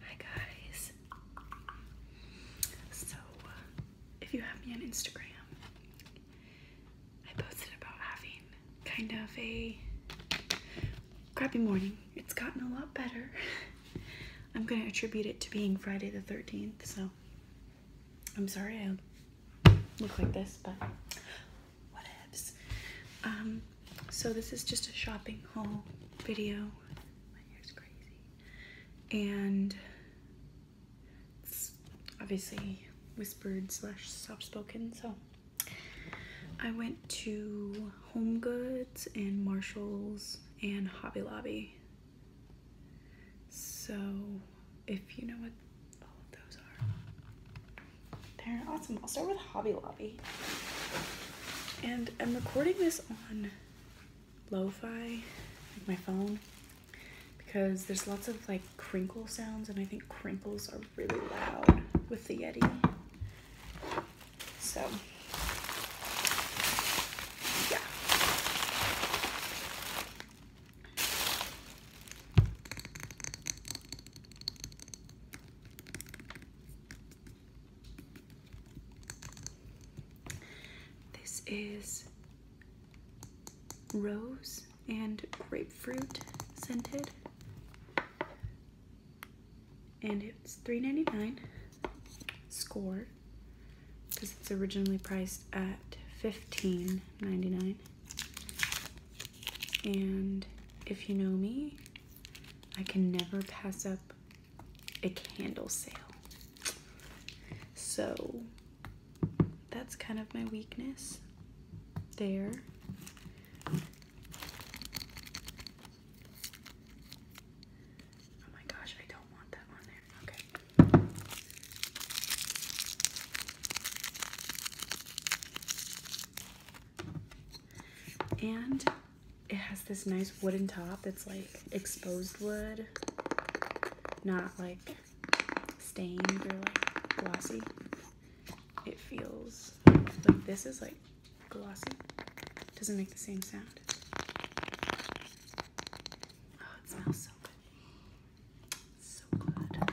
Hi guys. So, uh, if you have me on Instagram, I posted about having kind of a crappy morning. It's gotten a lot better. I'm going to attribute it to being Friday the 13th, so I'm sorry I look like this, but whatevs. Um, so this is just a shopping haul video. And obviously whispered slash soft spoken, so I went to Home Goods and Marshalls and Hobby Lobby. So if you know what all of those are. They're awesome. I'll start with Hobby Lobby. And I'm recording this on lo-fi, like my phone, because there's lots of like crinkle sounds and I think crinkles are really loud with the Yeti. So, yeah. This is rose and grapefruit scented. And it's $3.99 score because it's originally priced at $15.99 and if you know me, I can never pass up a candle sale. So that's kind of my weakness there. Oh my gosh, I don't want that on there. Okay. And it has this nice wooden top that's like exposed wood, not like stained or like glossy. It feels like this is like glossy. Doesn't make the same sound. Oh, it smells so good. So good.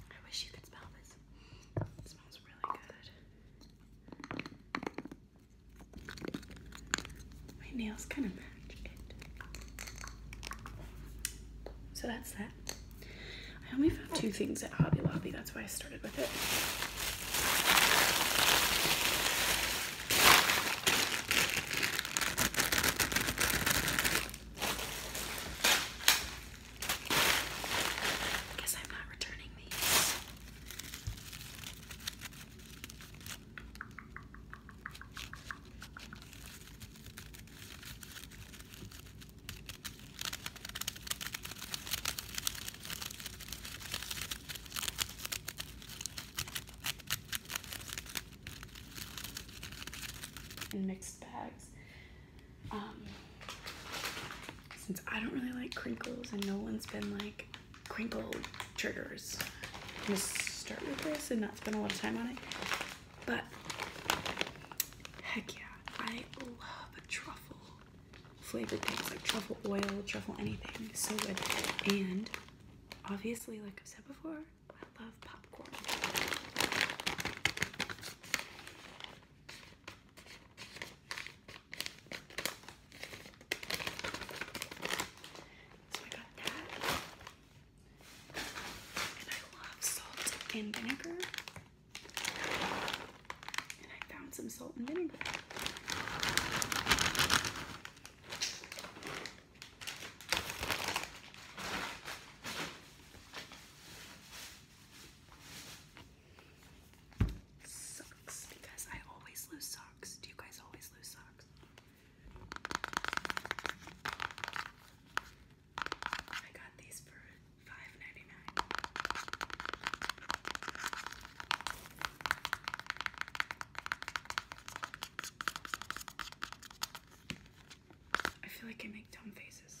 I wish you could smell this. It smells really good. My nails kind of match it. So that's that. I only found two things at Hobby Lobby, that's why I started with it. I guess I'm not returning these in mixed bags. Um, since I don't really like crinkles and no one's been like crinkle triggers. I'm gonna start with this and not spend a lot of time on it. But heck yeah, I love truffle flavored things like truffle oil, truffle anything. So good. And obviously, like I've said before, I love popcorn. So I got that. And I love salt and vinegar. And I found some salt and vinegar. Sucks because I always lose socks. Do you guys always lose socks? I got these for 5 I feel like I make dumb faces.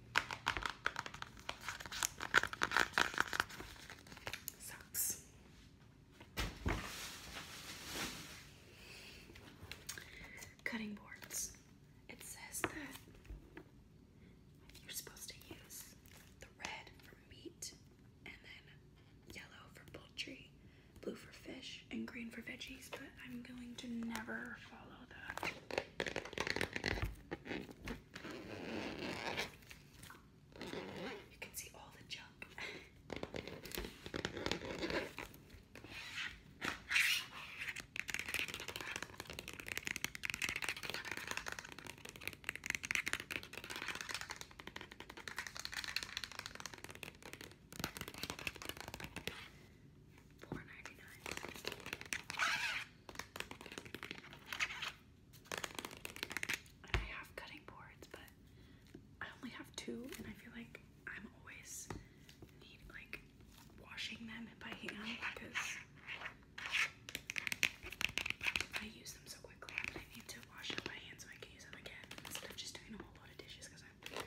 Socks. Cutting boards. It says that you're supposed to use the red for meat and then yellow for poultry, blue for fish, and green for veggies, but I'm going to never follow that. You can see all the junk. Four ninety nine. I have cutting boards, but I only have two, and I feel like I'm always need like washing them by hand because I use them so quickly. I need to wash them by hand so I can use them again instead of just doing a whole lot of dishes because I'm lazy.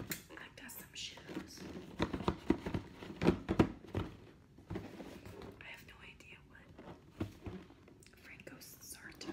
I got some shoes. I have no idea what Franco Sarto.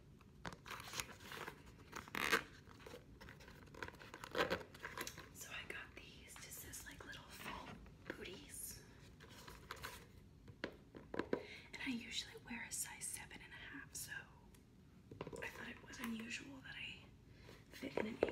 So I got these just as like little full booties. And I usually wear a size seven and a half, so I thought it was unusual that I fit in an eight.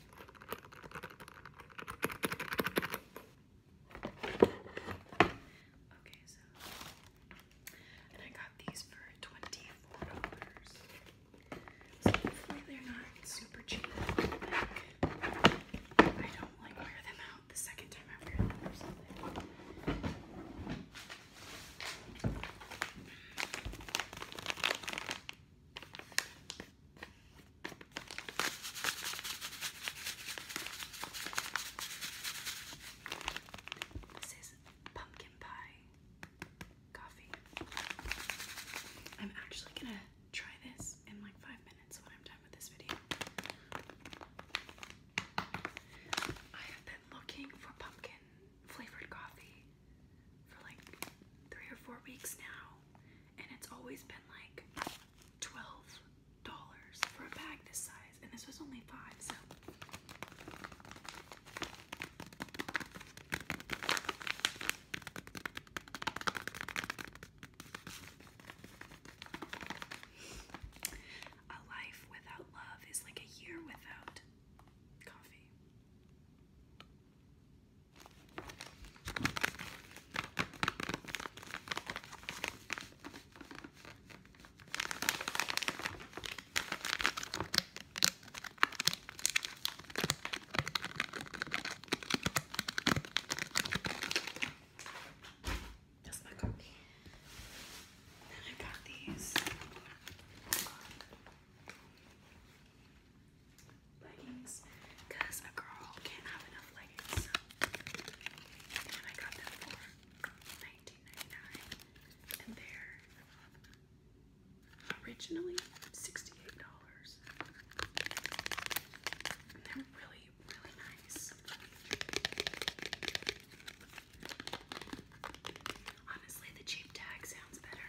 Okay, so and I got these for twenty-four dollars. So not super cheap. I don't like wear them out the second time I wear them or something. This is pumpkin pie coffee. I'm actually gonna try this in like five minutes when I'm done with this video. I have been looking for pumpkin flavored coffee for like three or four weeks now, and it's always been like twelve dollars for a bag this size, and this was only five, so a life without love is like a year without coffee. That's my copy. Then I got these leggings because a girl can't have enough leggings. And I got them for 99 and they're originally $68. And they're really, really nice. Honestly, the cheap tag sounds better.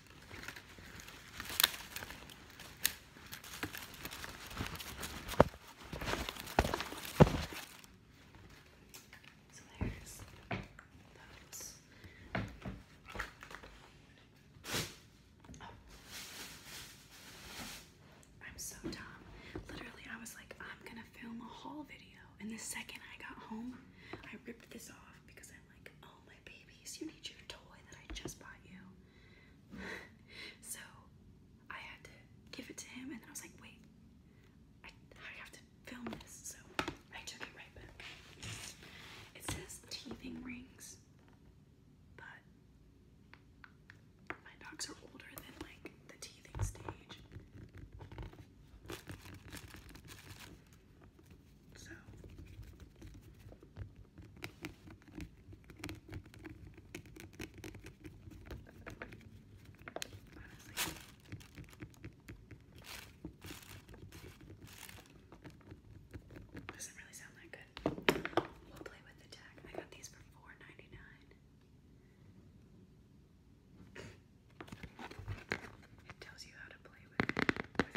So there's those. I'm so dumb. Literally, I was like, I'm gonna film a haul video. And the second I got home, I ripped this off because I'm like, oh my babies, you need your toy that I just bought you. so I had to give it to him, and I was like, wait, I have to film this. So I took it right back. It says teething rings, but my dogs are older than like the teething stage. So Doesn't really sound that good. We'll play with the tag. I got these for four ninety nine. It tells you how to play with, with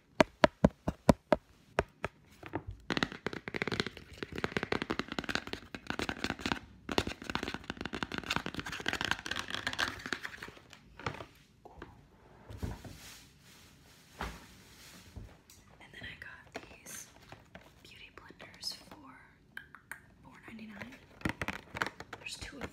And then I got these beauty blenders for 4 There's two of them.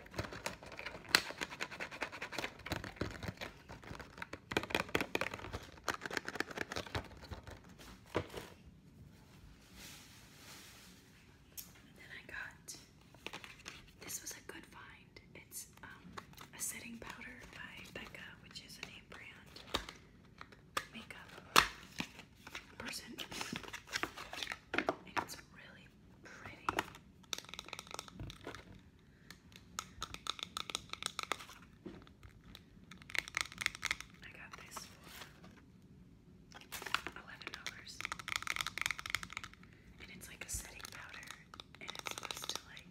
And then I got this was a good find. It's um, a setting powder by Becca, which is a name brand makeup person. it's really pretty. I got this for eleven dollars, and it's like a setting powder, and it's supposed to like.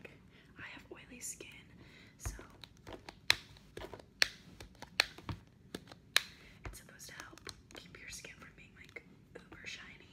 I have oily skin, so it's supposed to help keep your skin from being like uber shiny.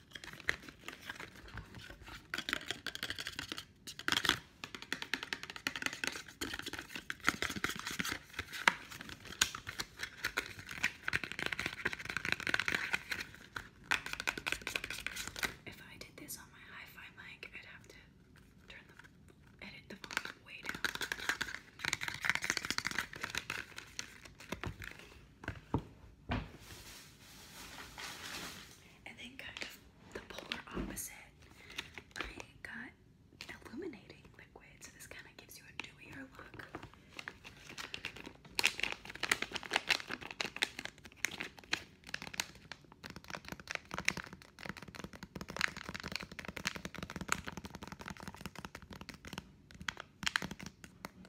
If I did this on my hi-fi mic, I'd have to turn the volume way down and then kind of the polar opposite, I got illuminating liquid. So this kind of gives you a dewier look.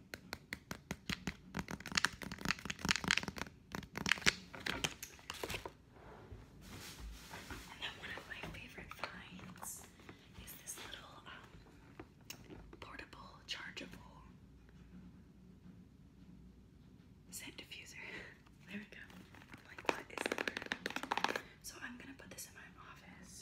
And then one of my favorite finds is this little um, portable, chargeable scent diffuser. there we go. So I'm gonna put this in my office.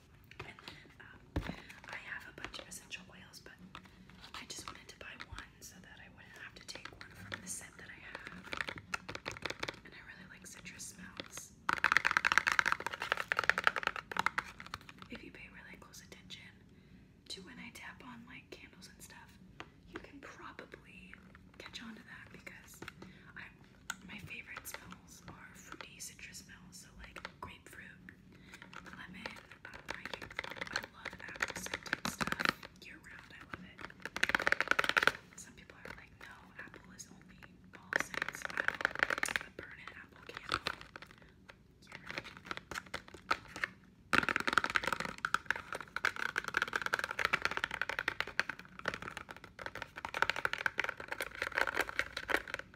Uh, I have a bunch of essential oils, but I just wanted to buy one so that I wouldn't have to take one from the set that I have. And I really like citrus smells. If you pay really close attention to when I tap on like candles and stuff, you can probably catch on to that because I my favorite smells are fruity citrus smells, so like grapefruit, lemon. Uh, I, I love apple scented stuff year round. I love it. Some people are like, no, apple is only fall scents. I love a burning apple candle. Year round. I and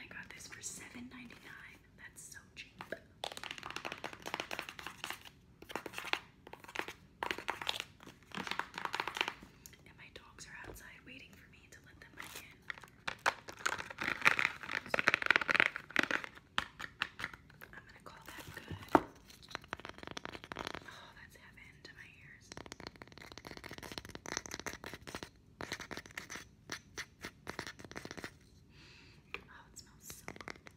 I got this for $7.99. That's so cheap and my dogs are outside waiting for me to let them back in. I'm gonna call that good. Oh, that's heaven to my ears. Oh, it smells so good.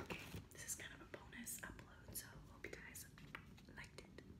Okay, this is kind of a bonus upload, so hope you guys liked it.